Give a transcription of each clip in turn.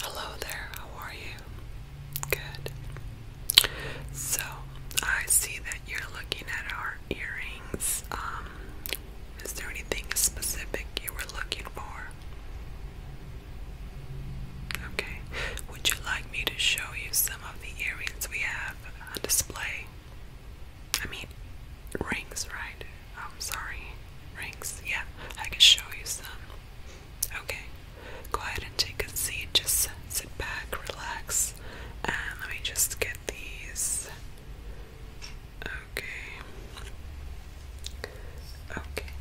Hello there, how are you? Good. So, I see that you're looking at our earrings. Um, is there anything specific you were looking for? Okay. Would you like me to show you some of the earrings we have on display? I mean, rings, right? I'm sorry, rings. Yeah, I can show you some. Okay, go ahead and take a seat. Just sit back, relax, and let me just get these. Okay. Okay,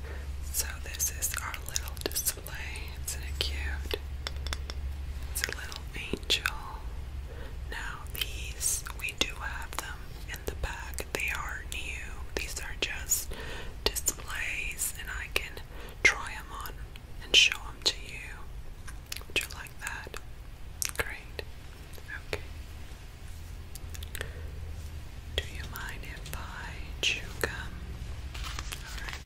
so this is our little display. It's in a cute. It's a little angel. Now these we do have them in the back. They are new. These are just displays, and I can try them on and show them to you. Would you like that? Great. Okay. Do you mind if I chew gum? Alright.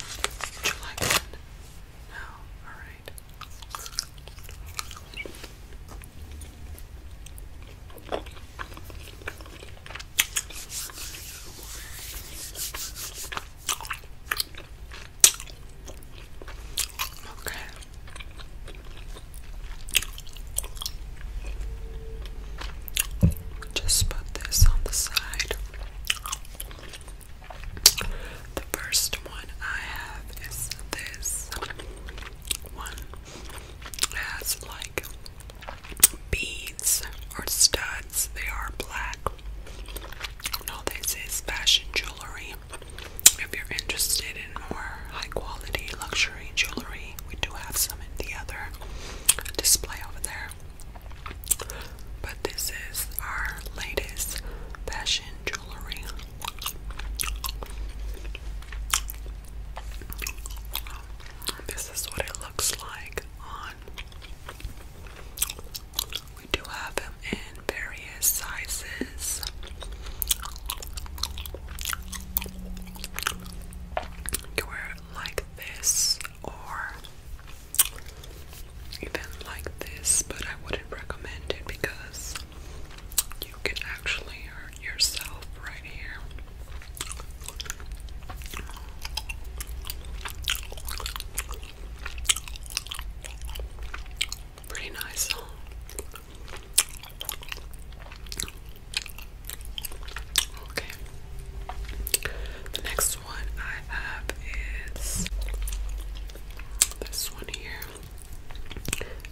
would you like one? No? Alright. Okay. Just put this on the side. The first one I have is this one. It has like beads or studs. They are black. No, this is fashion jewelry. If you're interested in more high quality luxury jewelry, we do have some in the other display over there. But this is our latest fashion jewelry this is what it looks like on. We do have them in various sizes. You wear like this or even like this, but I wouldn't recommend it because you can actually hurt yourself right here. Pretty nice, huh? Okay. The next one I have is this one here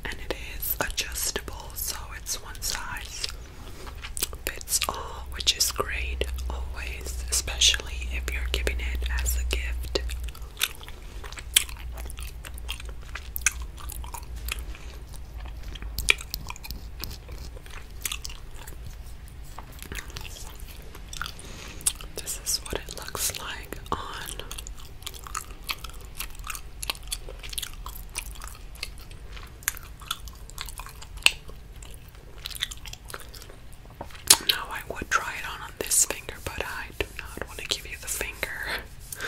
and it is adjustable, so it's one size fits all, which is great always, especially if you're giving it as a gift. This is what it looks like on now I would try it on on this finger, but I do not want to give you the finger.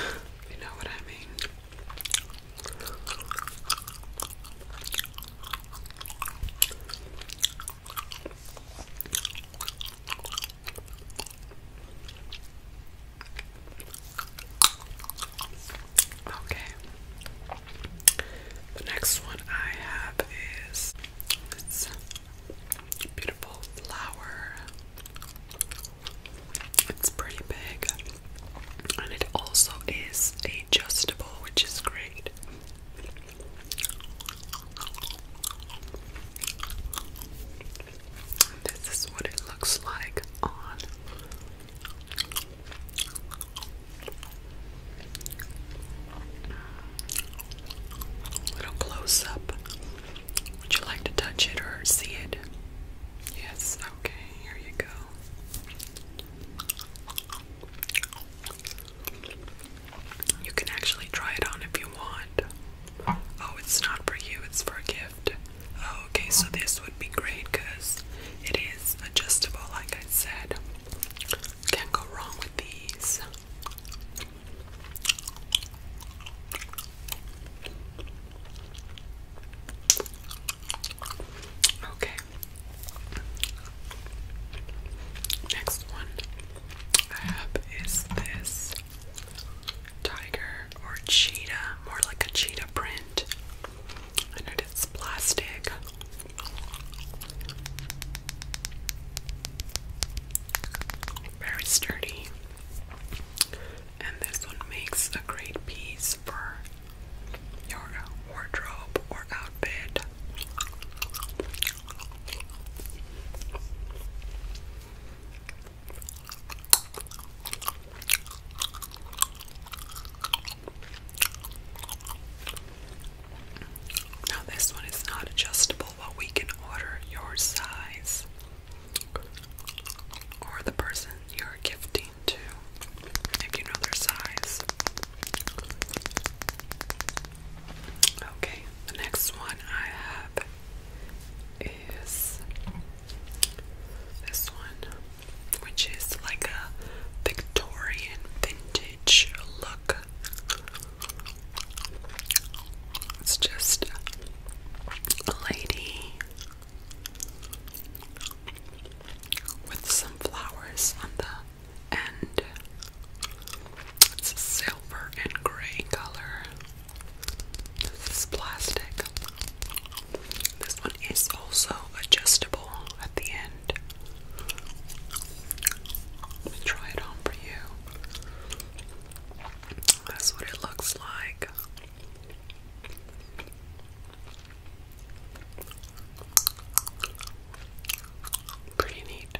you know what I mean. Okay. The next one I have is this beautiful flower. It's pretty big. And it also is adjustable, which is great. This is what it looks like on little close up. Would you like to touch it or see it? Yes, okay, here you go. You can actually try it on if you want. Oh, it's not for you, it's for a gift. Oh, okay, so this would be great because it is adjustable, like I said. Can't go wrong with these. Okay. Next one. I have is this tiger or cheetah, more like a cheetah print, and it is plastic. Very sturdy, and this one makes a great piece for your wardrobe or outfit. Now, this one is not adjustable, but we can order your size or the person you're gifting to if you know their size. Okay, the next one I have is this one, which is like a Victorian vintage look. It's just a lady with some flowers on the and it's a silver and gray color. This is plastic. This one is also adjustable at the end. Let me try it on for you. That's what it looks like. Pretty neat.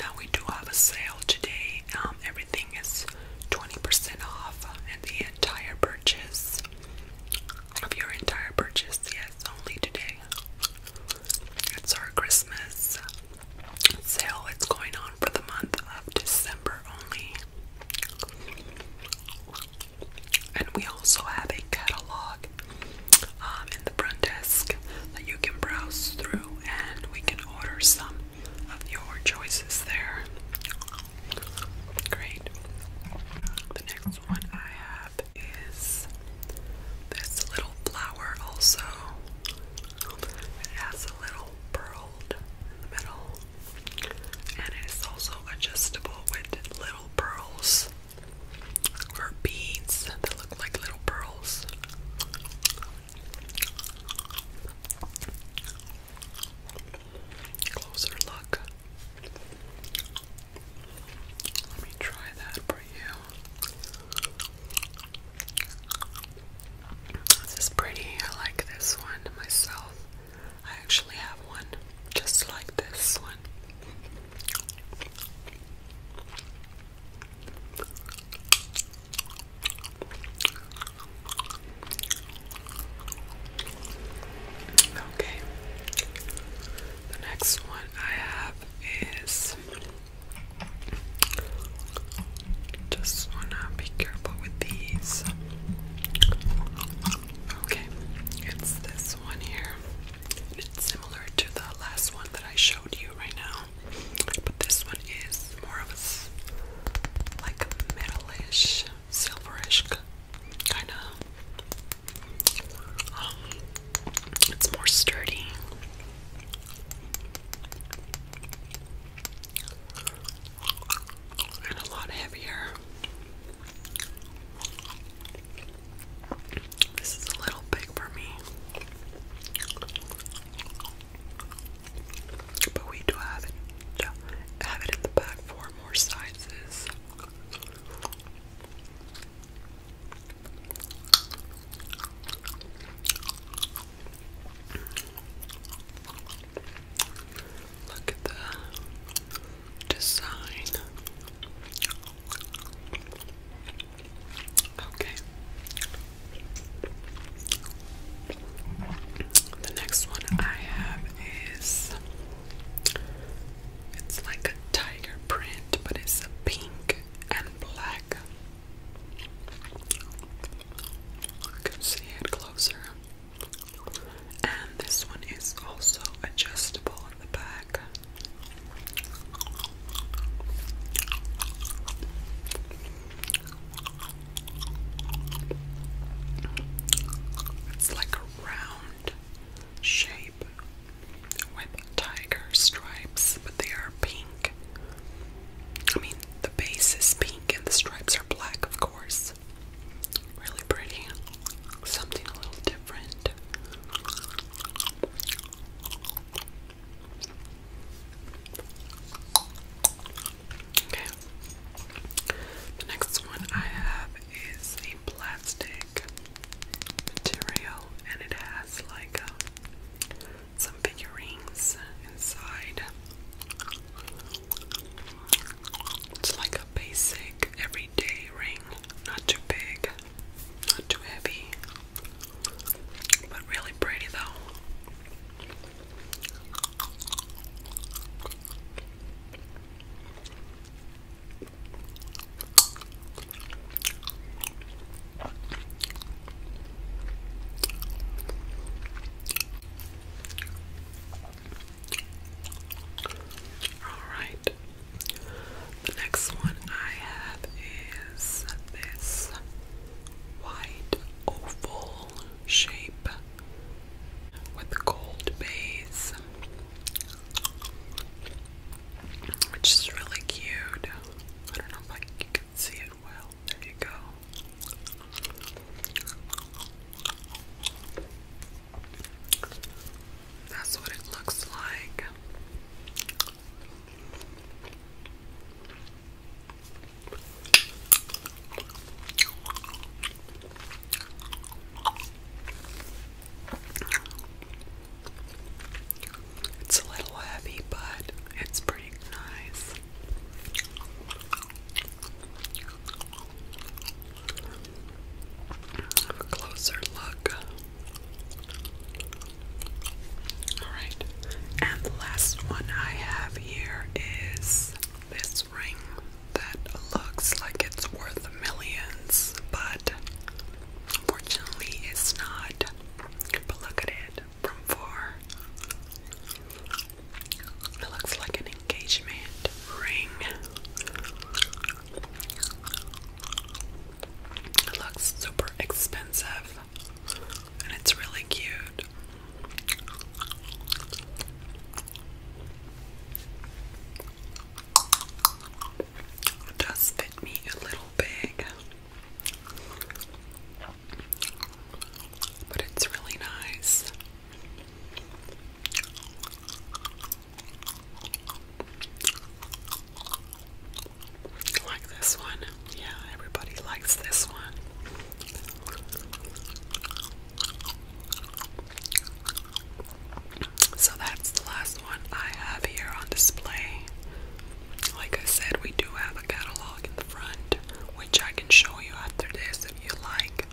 Now we do have a sale today. Um, everything is 20% off and the entire purchase of your entire purchase. Yes, only today. It's our Christmas sale. It's going on for the month of December only. And we also have a catalog um, in the front desk that you can browse through, and we can order some of your choices there. Great. The next one I have is this little flower, also. It has a little pearled in the middle, and it is also adjustable with little pearls or beads that look like little pearls. Closer look. Let me try that for you. This is pretty. I like this one myself. I actually have one just like this one. Okay. The next one I have is just wanna be careful with these. Okay, it's this one here. It's similar to the last one that I showed you right now, but this one is more of a like metalish, silverish kind of. Um, it's more sturdy. And a lot heavier. This is a little big for me. But we do have it have it in the back for more sizes. Look at the design Okay. The next one I have is it's like a tiger print, but it's pink and black. can see it closer. And this one is also adjustable. It's like a round shape with tiger stripes, but they are pink. I mean, the base is pink and the stripes are black, of course. Really pretty. Something a little different. Okay. The next one I have is a plastic material and it has like um, some figurines inside. It's like a basic everyday ring, not too big, not too heavy, but really pretty though. Alright. The next one I have is this white oval shape with gold base, which is really cute. I don't know if you can see it well. There you go. That's what it looks like. It's a little heavy, but it's pretty nice. Have a closer look. Alright, and the last one I have here is this ring that looks like it's worth millions, but unfortunately it's not. But look at it from far. It looks like an engagement ring. It looks super expensive and it's really cute. It does fit me a little big, but it's really nice. Like this one. Yeah, everybody likes this one. So that's the last one I have here on display. Like I said, we do have a catalog in the front, which I can show you after this if you like.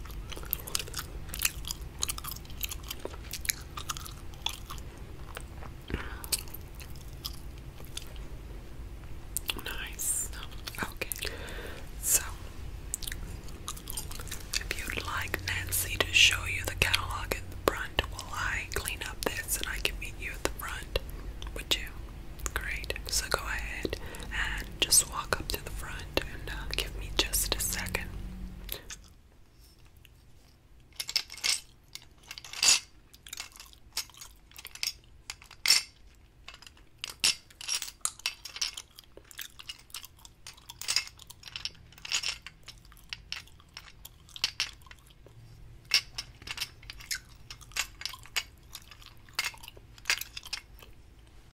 Nice. Okay. So, if you'd like Nancy to show you the catalog at the front while I clean up this and I can meet you at the front, would you? Great. So go ahead and just walk up to the front. Uh, give me just a second.